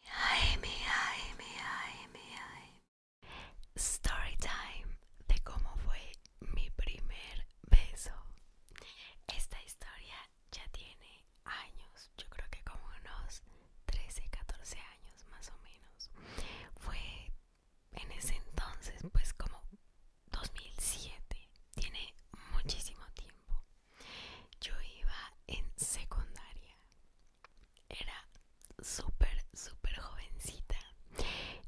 mi, ay Story time de cómo fue mi primer beso. Esta historia ya tiene años, yo creo que como unos 13, 14 años más o menos. Fue en ese entonces, pues como 2007, tiene muchísimo tiempo. Yo iba en secundaria. Era súper, súper jovencita.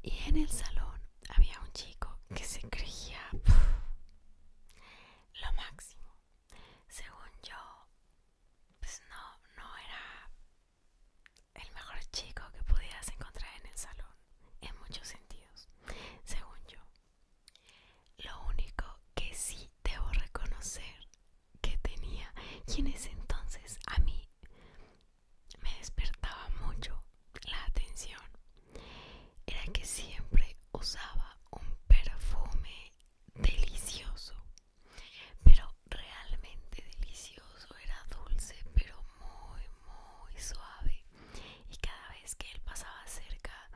Y en el salón había un chico que se creía lo máximo. Según yo, pues no, no era el mejor chico que pudieras encontrar en el salón, en muchos sentidos, según yo. Lo único que sí debo reconocer que tenía y en ese entonces a mí me despertaba mucho la atención era que siempre usaba un perfume delicioso pero realmente delicioso era dulce pero muy muy suave y cada vez que él pasaba cerca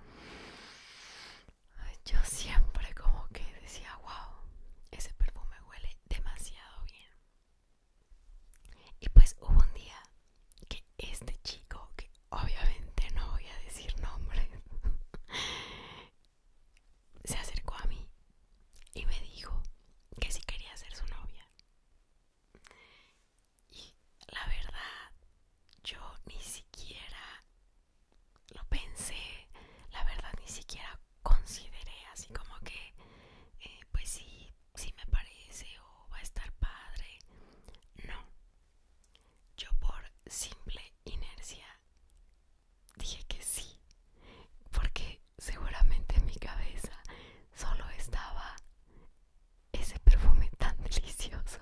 yo siempre como que decía, wow, ese perfume huele demasiado bien. Y pues hubo un día que este chico, que obviamente no voy a decir nombres se acercó a mí y me dijo que si quería ser su novia. Y la verdad, yo ni siquiera lo pensé, la verdad ni siquiera consideré así como que, eh, pues sí, sí me parece o va a estar padre. No, yo por simple inercia dije que sí, porque seguramente en mi cabeza solo estaba ese perfume tan delicioso.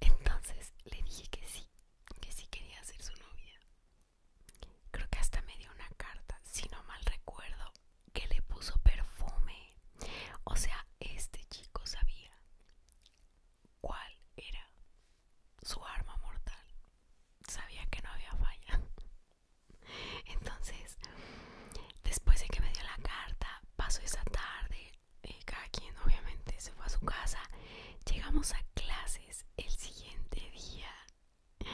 Entonces le dije que sí, que sí quería ser su novia. Creo que hasta me dio una carta, si no mal recuerdo, que le puso perfume. O sea, este chico sabía cuál era su arma mortal. Sabía que no había falla. Entonces, después de que me dio la carta, pasó esa tarde, eh, cada quien obviamente se fue a su casa. Llegamos a clases el siguiente día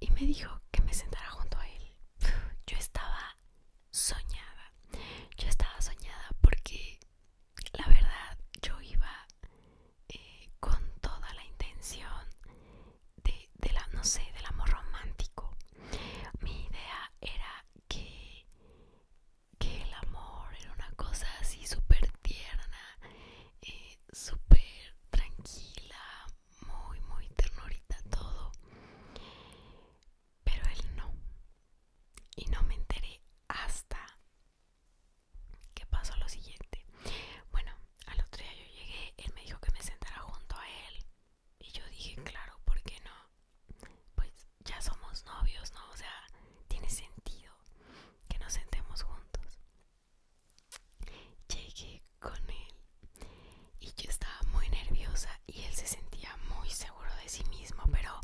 y me dijo que me sentara junto a él. Yo estaba soñada, yo estaba soñada porque la verdad yo iba eh, con toda la intención de, de la, no sé, del amor romántico. Mi idea era que, que el amor era una cosa así súper tierna, eh, súper tranquila, muy, muy ternurita todo. Pero él no. Y no me enteré hasta que pasó lo siguiente. Bueno, al otro día yo llegué, él me dijo que me sentara junto a él. Y yo dije, claro, ¿por qué no? Pues ya somos novios, ¿no? O sea, tiene sentido que nos sentemos juntos. Llegué con él y yo estaba muy nerviosa y él se sentía muy seguro de sí mismo, pero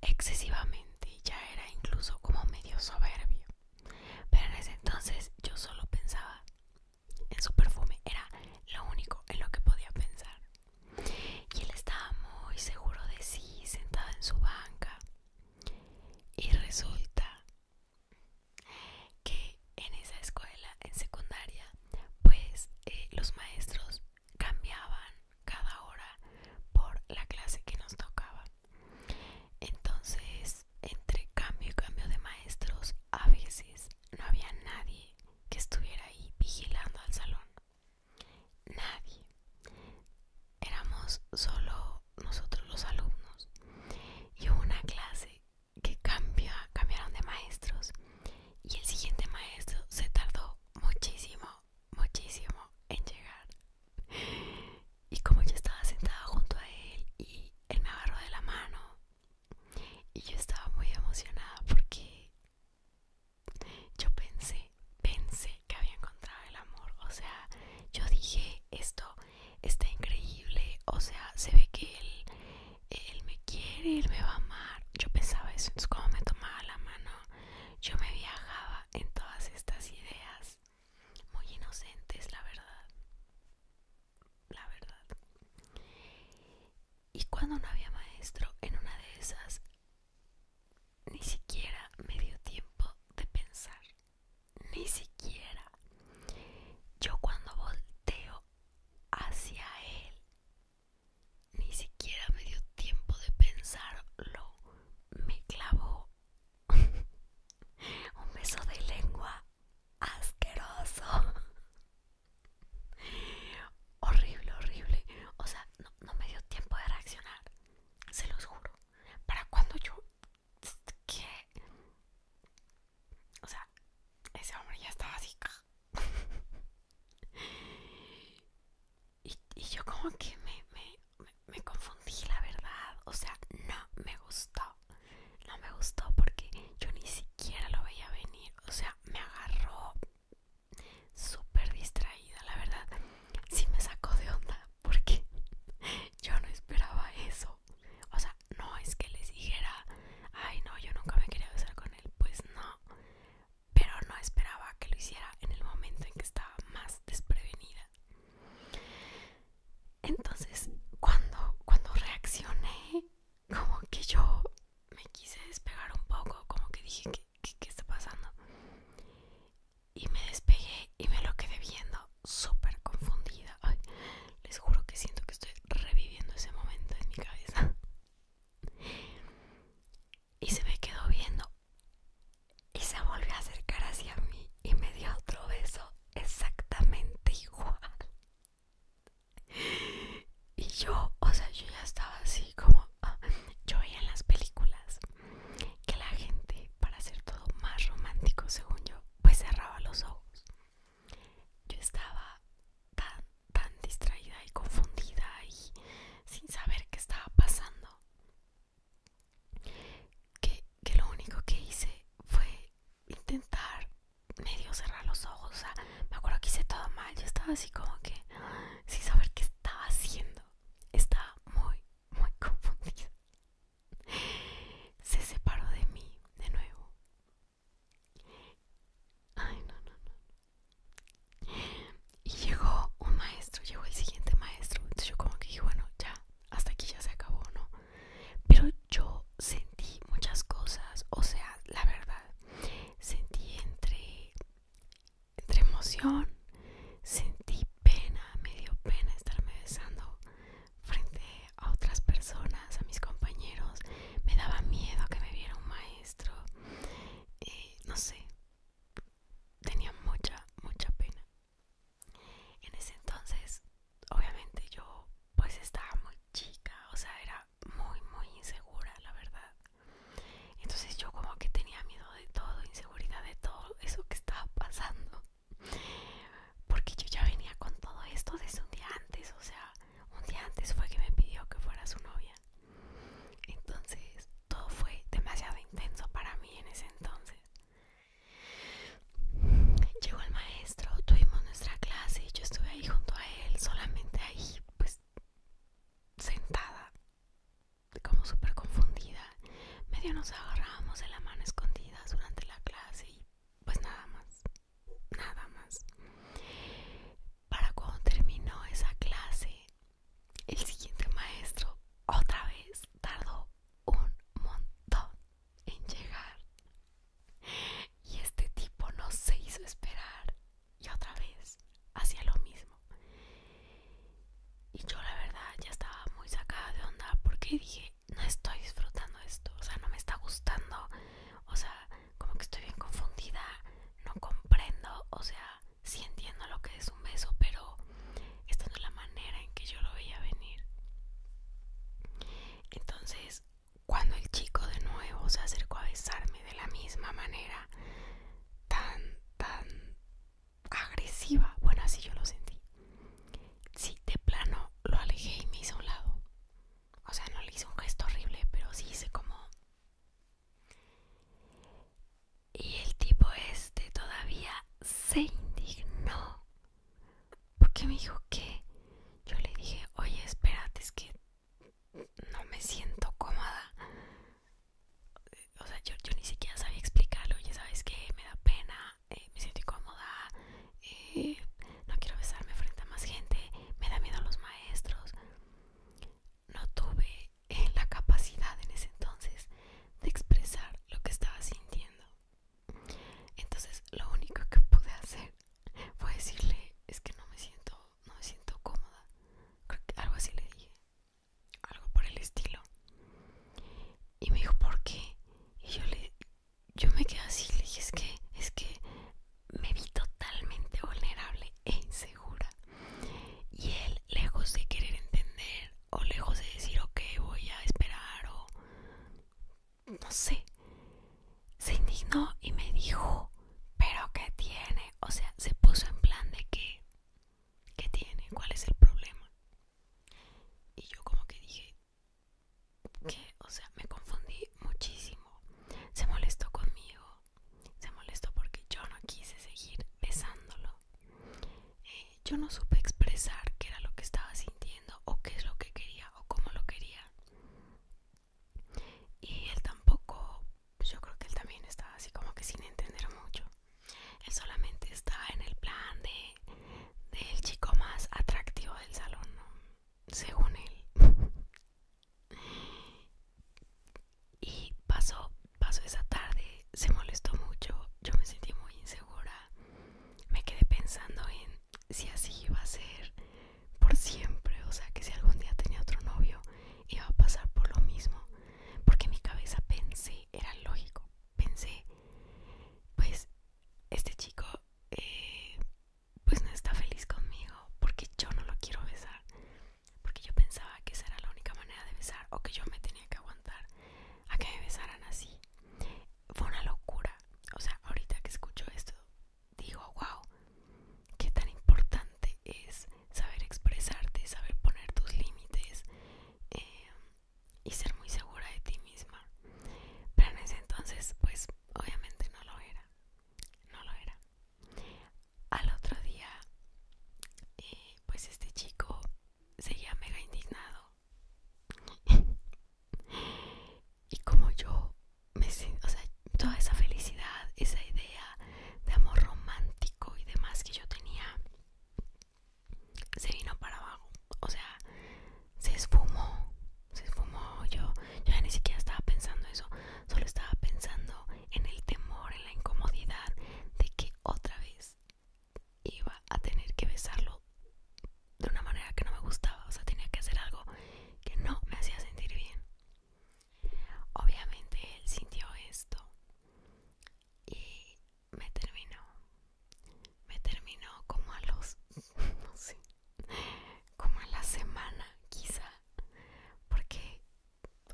excesivamente ya era incluso como medio soberbio. Pero en ese entonces yo solo pensaba en su perfume, era lo único en lo que podía pensar. Y él estaba muy seguro de sí, sentado en su banca. Y resulta que en esa escuela, en secundaria, pues eh, los maestros cambiaban cada hora por la clase que nos tocaba. Entonces, entre cambio y cambio de maestros, a veces no había nadie que estuviera ahí vigilando al salón. Nadie. Éramos solo nosotros los alumnos. Y hubo una clase que cambió, cambiaron de maestros. Y el siguiente maestro se tardó muchísimo, muchísimo en llegar. Y como yo estaba sentada junto a él y él me agarró de la mano. Y yo estaba muy emocionada porque yo pensé, pensé que había encontrado el amor, o sea, yo dije, esto está increíble, o sea, se ve que él, él me quiere, él me va a amar. Yo pensaba eso, entonces como me tomaba la mano, yo me viajaba en todas estas ideas muy inocentes, la verdad. La verdad. Y cuando no había maestro, en una de esas, ni siquiera me dio tiempo de pensar. Ni siquiera. Yo cuando volteo hacia él, ni siquiera me dio tiempo de pensarlo. Me clavó un beso de lengua asqueroso. Horrible, horrible. O sea, no, me dio tiempo de reaccionar. Se los juro. Para cuando yo... ¿Qué? O sea, ese hombre ya estaba así. y, yo como que me, me, me confundí, la verdad. O sea, no me gustó. No me gustó porque yo ni siquiera lo veía venir. O sea, me agarró súper distraída, la verdad. Sí me sacó de onda porque yo no esperaba eso. O sea, no es que les dijera, ay no, yo nunca me quería besar con él. Pues no. Pero no esperaba que lo hiciera en el momento en que estaba más desprevenida. Entonces, cuando, cuando reaccioné, como que yo me quise despegar un poco, como que dije, ¿qué, está pasando? Y me despegué y me lo quedé viendo súper confundida. Ay, les juro que siento que estoy reviviendo ese momento en mi cabeza. Y se me quedó viendo y se volvió a acercar hacia mí y me dio otro beso exactamente igual. Y yo, o sea, yo ya estaba así como... Ah, yo veía en las películas que la gente, para hacer todo más romántico, según yo, pues cerraba los ojos. Yo estaba tan, tan distraída y confundida y sin saber qué estaba pasando. que lo único que hice fue intentar medio cerrar los ojos. O sea, me acuerdo que hice todo mal. Yo estaba así como que sin saber qué estaba haciendo. Estaba muy, muy confundida. Se separó de mí de nuevo. Ay, no, no, Y llegó un maestro, llegó el siguiente maestro. Entonces yo como que dije, bueno, ya, hasta aquí ya se acabó, ¿no? Pero yo sentí muchas cosas, o sea, la verdad, Sentí entre, entre emoción, sentí pena, me dio pena estarme besando frente a otras personas, a mis compañeros. Me daba miedo que me viera un maestro. Eh, no sé, tenía mucha, mucha pena. En ese entonces, obviamente yo pues estaba muy chica, o sea, era muy, muy insegura, la verdad. Entonces yo como que tenía miedo de todo, inseguridad de todo eso que estaba pasando. Porque yo ya venía con todo esto desde un día antes, o sea, un día antes fue que me pidió que fuera su novia. Entonces todo fue demasiado intenso para mí en ese entonces. Llegó el maestro, tuvimos nuestra clase, yo estuve ahí junto a él, solamente ahí pues sentada como súper confundida medio nos agarrábamos de la mano escondidas durante la clase y pues nada más nada más para cuando terminó esa clase el siguiente maestro otra vez tardó un montón en llegar y este tipo no se hizo esperar y otra vez hacía lo mismo. Y yo la verdad ya estaba muy sacada de onda porque dije, no estoy disfrutando esto, o sea, no me está gustando, o sea, como que estoy bien confundida, no comprendo, o sea, sí entiendo lo que es un beso, pero esta no es la manera en que yo lo veía venir. Entonces, cuando el chico de nuevo se acercó a besarme de la misma manera, tan, tan agresiva, bueno, así yo lo sentí. Sí, de plano lo alejé y me hizo un lado. O sea, no le hice un gesto horrible, pero sí hice como... Y el tipo este todavía se indignó. Porque me dijo que yo le dije, oye, espérate, es que no me siento cómoda. O sea, yo, ni siquiera sabía explicarlo. Ya sabes que me da pena, eh, me siento incómoda, eh, no quiero besarme frente a más gente, me da miedo a los maestros. No tuve eh, la capacidad en ese entonces de expresar lo que estaba sintiendo. Entonces, lo único que pude hacer fue decirle, es que no me siento, no me siento cómoda. Creo que algo así le dije. Algo por el estilo. Y me dijo, ¿por qué? Y yo le yo me quedé así, le dije, es que, es que me vi totalmente vulnerable e eh, insegura. Y él, lejos de querer entender, o lejos de decir, ok, voy a esperar, o no sé, se indignó y me dijo, pero ¿qué tiene? O sea, se puso en plan de que, ¿qué tiene? ¿Cuál es el problema? Y yo como que dije, que, o sea, me confundí muchísimo. Se molestó conmigo, se molestó porque yo no quise seguir besándolo. Eh, yo no supe expresar qué era lo que estaba sintiendo o qué es lo que quería o cómo lo quería y él tampoco pues, yo creo que él también estaba así como que sin entender mucho él solamente estaba en el plan de del chico más atractivo del salón según él y pasó pasó esa tarde se molestó mucho yo me sentí muy insegura me quedé pensando en si así iba a ser por siempre, o sea que si algún día tenía otro novio iba a pasar por lo mismo, porque en mi cabeza pensé, era lógico, pensé, pues este chico eh, pues no está feliz conmigo porque yo no lo quiero besar, porque yo pensaba que esa era la única manera de besar o que yo me tenía que aguantar a que me besaran así. Fue una locura, o sea, ahorita que escucho esto digo, wow, qué tan importante es saber expresarte, saber poner tus límites eh, y ser muy segura de ti misma. Pero en ese entonces, pues obviamente no lo era. No lo era. Al otro día, eh, pues este chico seguía mega indignado. Y como yo me o sea, toda esa felicidad, esa idea de amor romántico y demás que yo tenía, se vino para abajo. O sea, se esfumó, se esfumó. Yo ya ni siquiera estaba pensando eso, solo estaba pensando en el temor, en la incomodidad de que otra vez iba a tener que besarlo de una manera que no me gustaba, o sea, tenía que hacer algo que no me hacía sentir bien. Obviamente él sintió esto y me terminó. Me terminó como a los, no sé, como a la semana quizá, porque,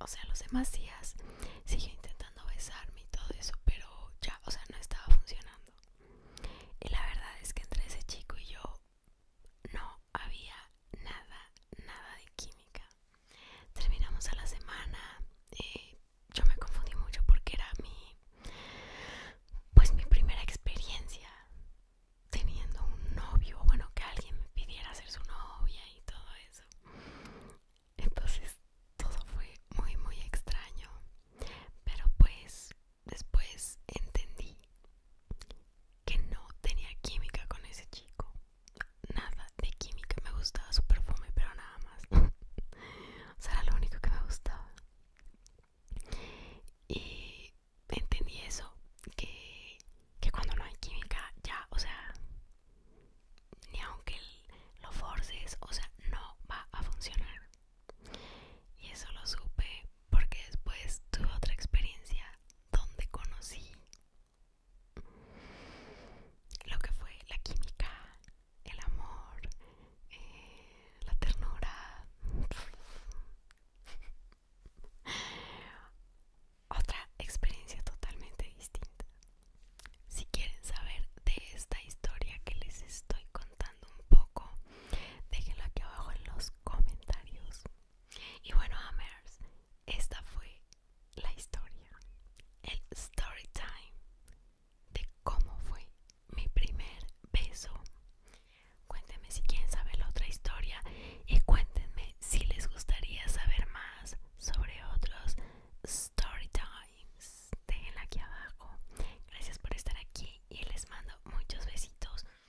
o sea, los demás días siguió intentando besarme y todo eso, pero ya, o sea, no estaba funcionando. Y la verdad es que entre ese chico y yo no había nada, nada de química. Terminamos a la semana. Eh, yo me confundí mucho porque era mi, pues mi primera experiencia teniendo un novio, bueno, que alguien me pidiera ser su novia y todo eso. Entonces todo fue muy, muy extraño. Pero pues después entendí que no tenía química con ese chico. Nada de química. Me gustaba su perfume, pero nada más. o sea, era lo único que me gustaba. Y entendí eso, que, cuando no hay química, ya, o sea, ni aunque lo forces, o sea, no va a funcionar. Y eso lo supe porque después tuve otra experiencia donde conocí lo que fue la química, el amor, eh, la ternura. Otra experiencia totalmente distinta. Si quieren saber de esta historia que les estoy contando un poco, déjenlo aquí abajo en los comentarios. Y bueno, Amers, esta fue la historia, el story time de cómo fue mi primer beso. Cuéntenme si quieren saber la otra historia y cuéntenme si les gustaría saber más sobre otros story times. Déjenla aquí abajo. Gracias por estar aquí y les mando muchos besitos.